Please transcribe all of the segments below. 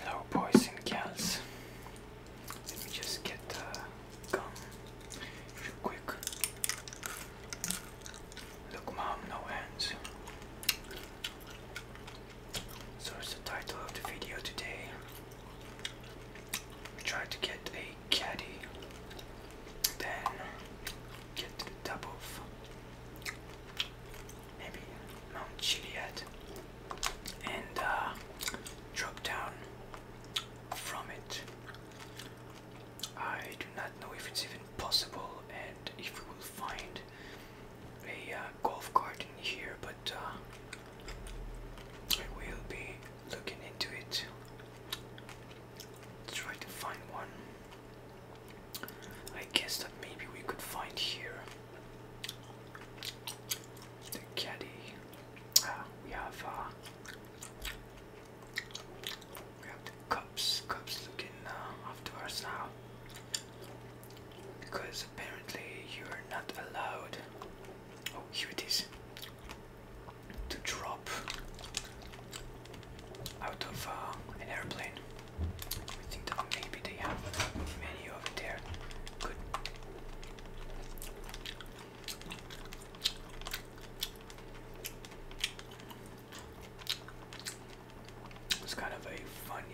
Hello, boys and girls. Let me just get the gum real quick. Look, mom, no hands. So it's the title of the video today. We to get a caddy, then get the top maybe Mount Chiliad and uh, drop down from it. I do not know if it's even possible and if we will find a uh, golf cart in here, but uh, I will be looking into it. try to find one. I guess that maybe we could find here the caddy. Ah, we have uh, we have the cops, cops looking uh, after us now. Because apparently you're not allowed. Oh, here it is. To drop out of uh, an airplane. I think maybe they have many over there. Good. It's kind of a funny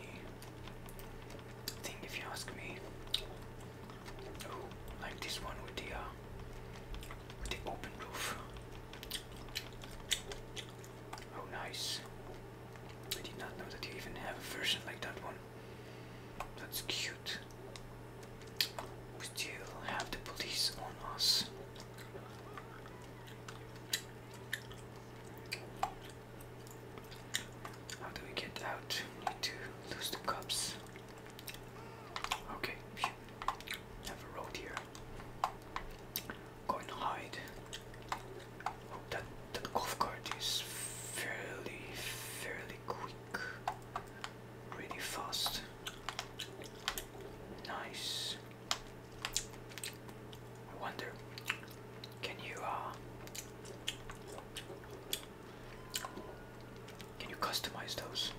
thing if you ask me. Oh, like this one with the uh, with the open roof. Oh, nice. I did not know that you even have a version like that one. That's cute. We still have the police on us. How do we get out? need to lose the cups. Okay, Phew. have here. Go and hide. Oh, that that golf cart is fairly, fairly quick, really fast. Nice. wonder, can you uh can you customize those?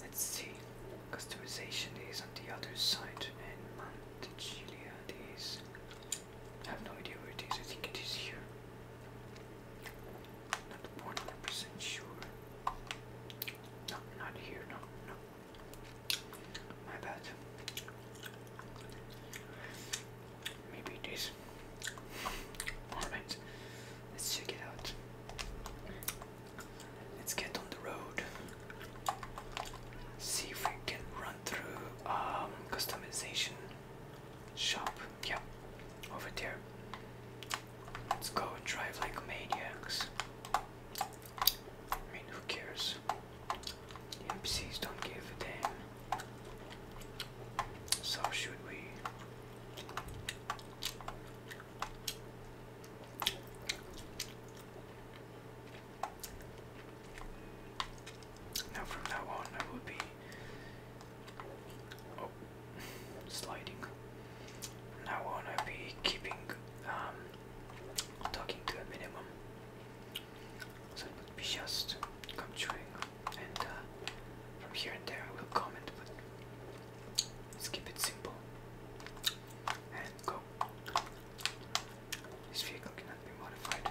Let's see. Customization is on the other side and Montichilia is I have no idea where it is, I think it is here. Not 100% sure. No, not here, no, no. My bad. Maybe it is. Alright, let's check it out. Let's get on the road. See if we can run through um, customization shop. Yep, yeah, over there. Let's go and drive like maniacs. I mean, who cares? NPCs don't give a damn. So, should we? Now, from now on, I will be Oh, sliding. From now on, be keeping um, talking to a minimum. So it would be just come and uh, from here and there I will comment, but let's keep it simple. And go. This vehicle cannot be modified.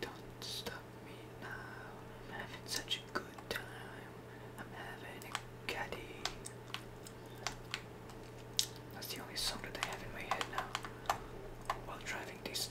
Don't stop me now. I'm having such a good time. I'm having a caddy. That's the only song that I have in my head now while driving this.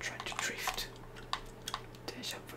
Trying to drift. Deja vu.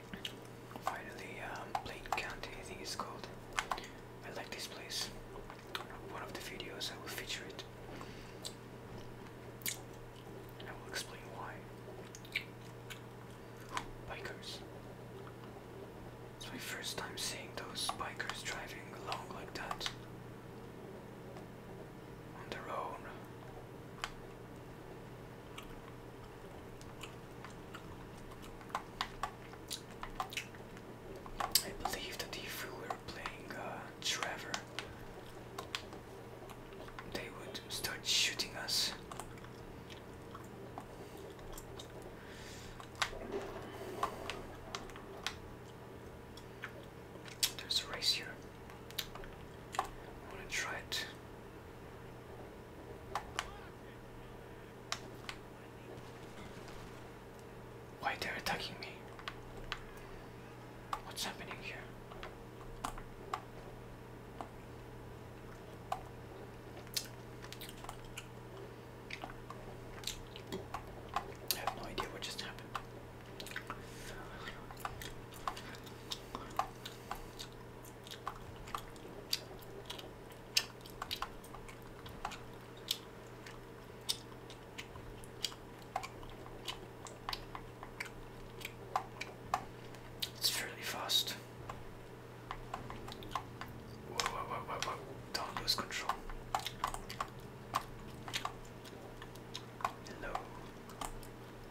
Finally, um, Plain County, I think it's called. I like this place. One of the videos I will feature it. I will explain why. Bikers. It's my first time seeing those bikers driving along like that. On their own. I believe that if we were playing uh, Trevor, they would start shooting us. There's a race here. I want to try it. Why they're attacking me? What's happening here? I have no idea what just happened. It's fairly fast. Don't lose control. Hello.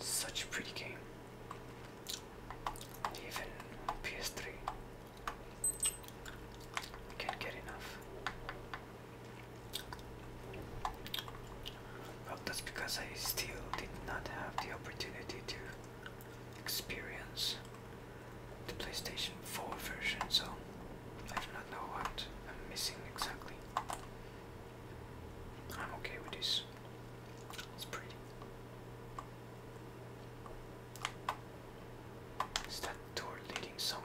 Such a pretty game. Even PS3. can't get enough. Well, that's because I still did not have the opportunity to experience the PlayStation 4 version, so I do not know what I'm missing exactly. I'm okay with this. It's pretty. Is that door leading somewhere?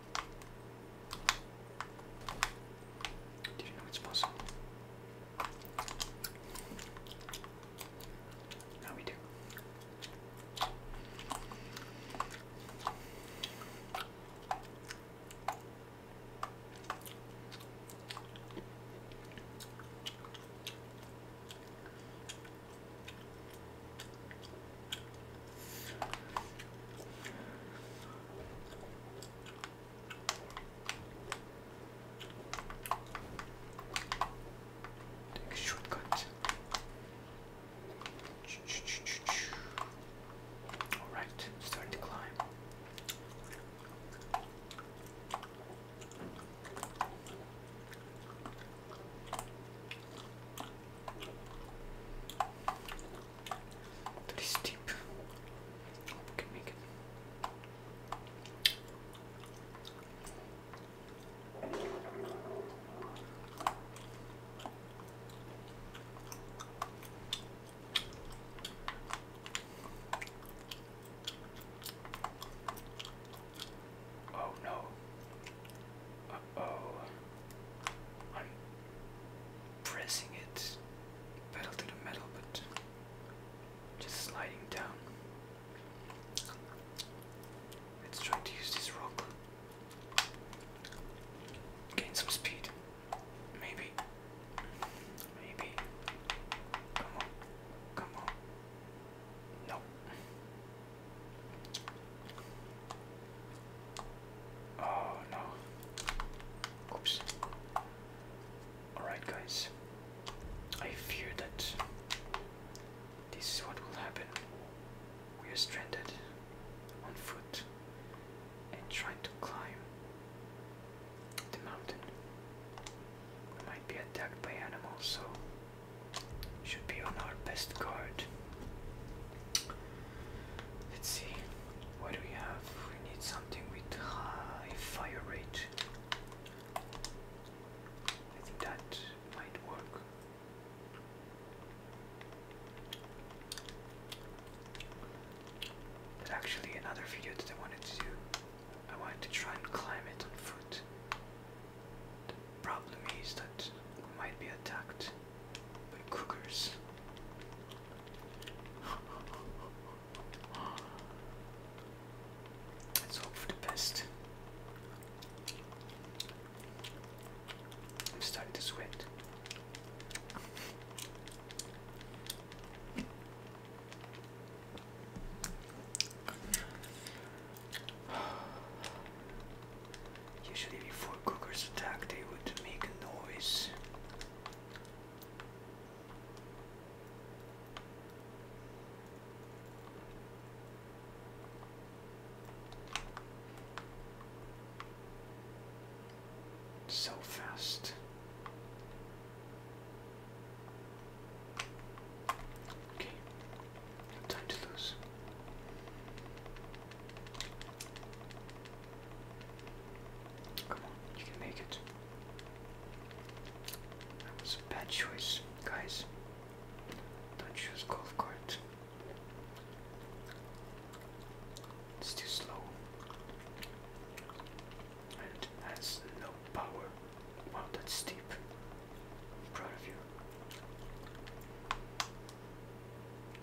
Did you know it's possible? Now we do. Take a shortcut. Alright, starting to climb. That is deep. Hope can make it. Oh no. oh pressing it, pedal to the metal, but just sliding down. Let's try to use this rock. Gain some speed. Maybe. Maybe. Come on. Come on. No. Oh no. Oops. Alright, guys. I fear that this is what will happen. We are stranded on foot and trying to climb the mountain. We might be attacked by animals, so should be on our best guard. Let's see. What do we have? We need something with high fire rate. I think that might work. actually, another video that I wanted to do, I wanted to try and climb it on foot. The problem is that we might be attacked. But cougars. Let's hope for the best. I'm starting to sweat. Usually before cougars attack they would make a noise. So fast. Okay, time to lose. Come on, you can make it. That was a bad choice, guys. Don't choose golf cart. It's too slow. And has no power. Wow, that's steep. proud of you.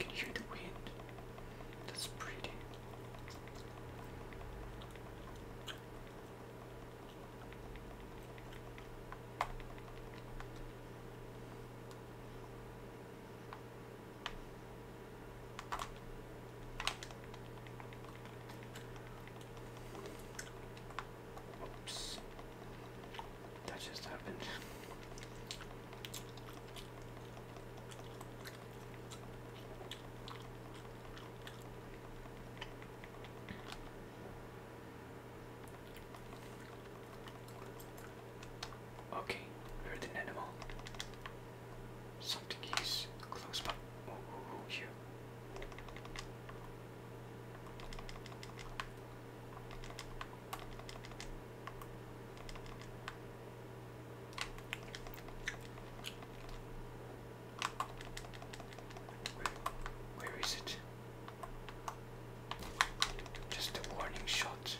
You hear the wind. That's pretty. Oops. That just happened. Okay, heard an animal. Something is close by. oh, oh, oh here. Where, where is it? Just a warning shot.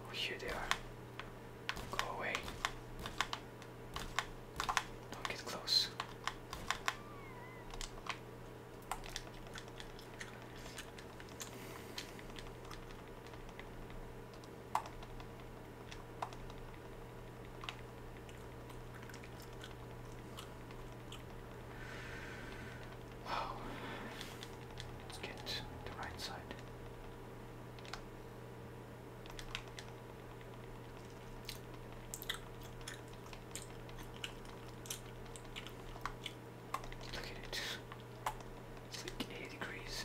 Oh, here they are. Go away. Don't get close. Let's get the right side. Look at it. It's like 80 degrees.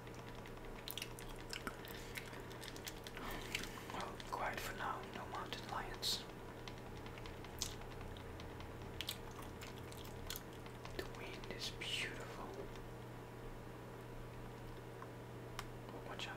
quiet for now, no mountain lions. The wind is beautiful. Oh, watch out.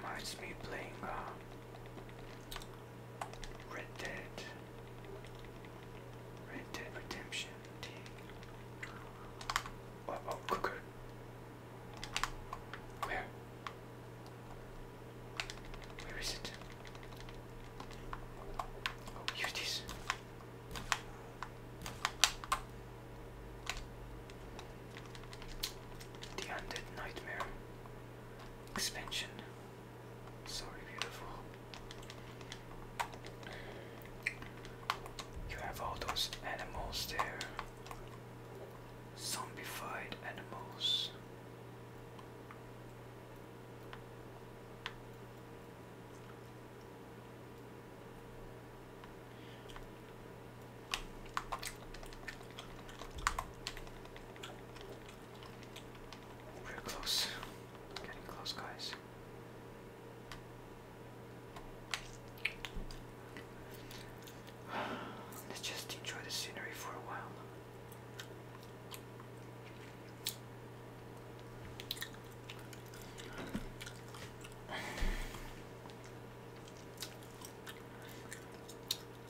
Reminds me playing uh, Red Dead. Red Dead Redemption. D. Oh, oh cooker. Where? Where is it? Oh, here it is. The Undead Nightmare Expansion. So beautiful. You have all those animals there. Zombified animals we close. Getting close, guys. Let's just enjoy the scenery for a while.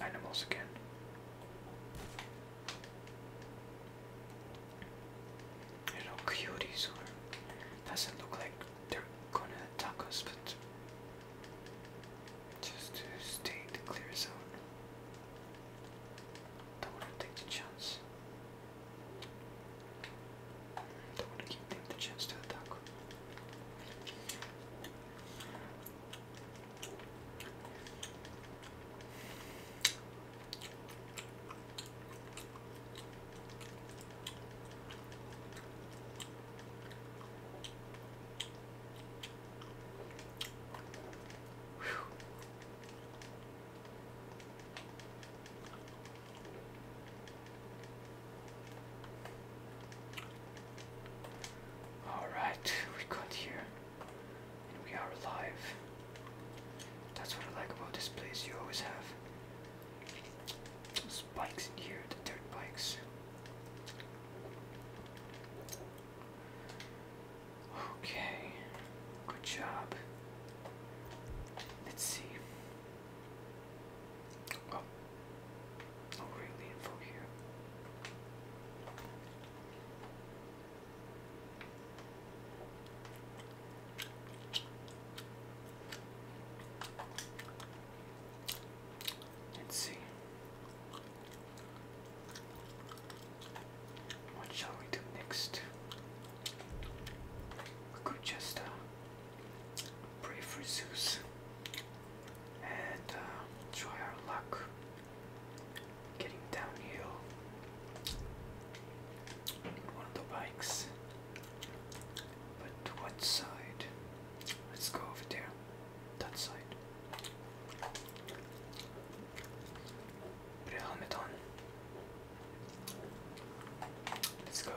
Animals again. Little cuties, doesn't look like they're gonna attack us, but just to stay in the clear zone. Don't wanna take the chance. Don't wanna give them the chance to attack. All right, we got here, and we are alive. That's what I like about this place. You always have bikes in here, the dirt bikes. Okay, good job. Let's see. Oh, no info here. Let's see. What shall we do next? We could just uh, pray for Zeus and uh, try our luck getting downhill in one of the bikes. But what side? Let's go over there. That side. Put a helmet on. Let's go.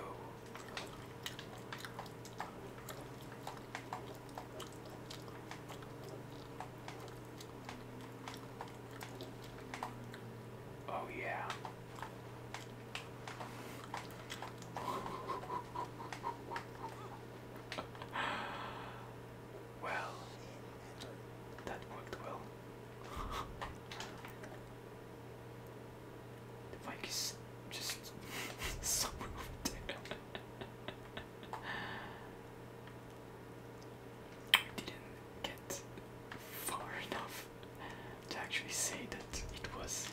Oh, yeah. well, that worked well. the mic is just so We didn't get far enough to actually say that it was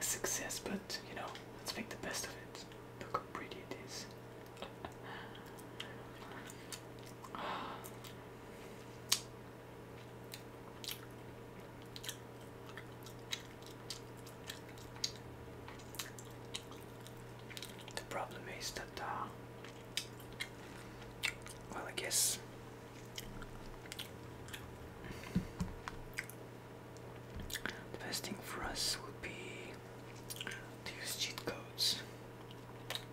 a success, but you know, let's make the best of it. Look how pretty it is. The problem is that, uh, well, I guess the best thing for us would be to use cheat codes.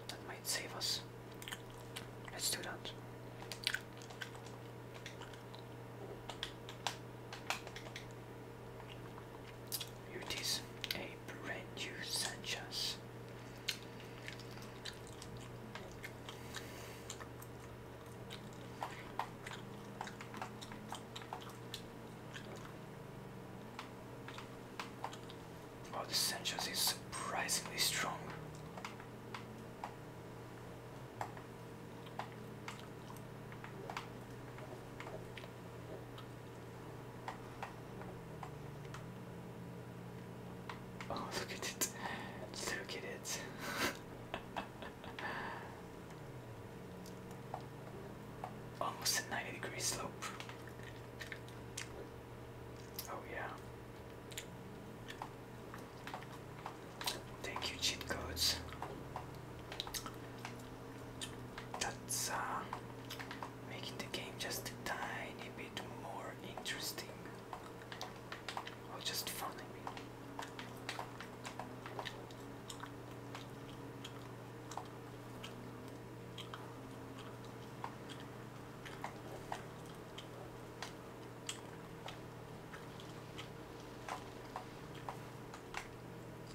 That might save us. Let's do that. it is, a brand new Sanchez. Oh, the Sanchez is surprisingly strong. Oh, look at it. Look at it. Almost a 90 degree slope. Oh, yeah. Thank you, cheat codes. That's uh, making the game just a tiny bit more interesting. Oh, just phoning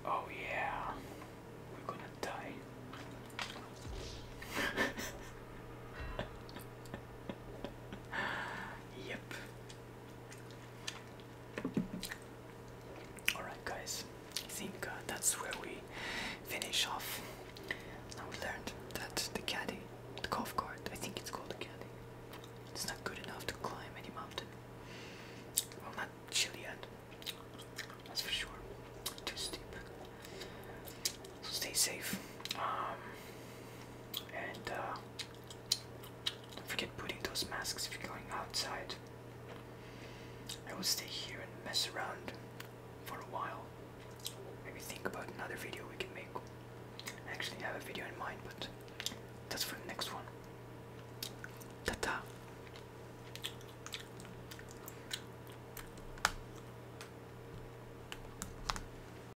Oh, yeah, we're gonna die. yep, Alright, guys, I think that's where we finish off. Now we learned that the caddy, the golf cart, I think it's called the caddy, it's not good enough to climb any mountain. Well, not chilly yet. that's for sure. Too steep. So stay safe. Um, and uh, don't forget putting those masks if you're going outside. I will stay here and mess around for a while. Maybe think about another video we can make. I actually have a video in mind, but that's for the next one. ta -ta.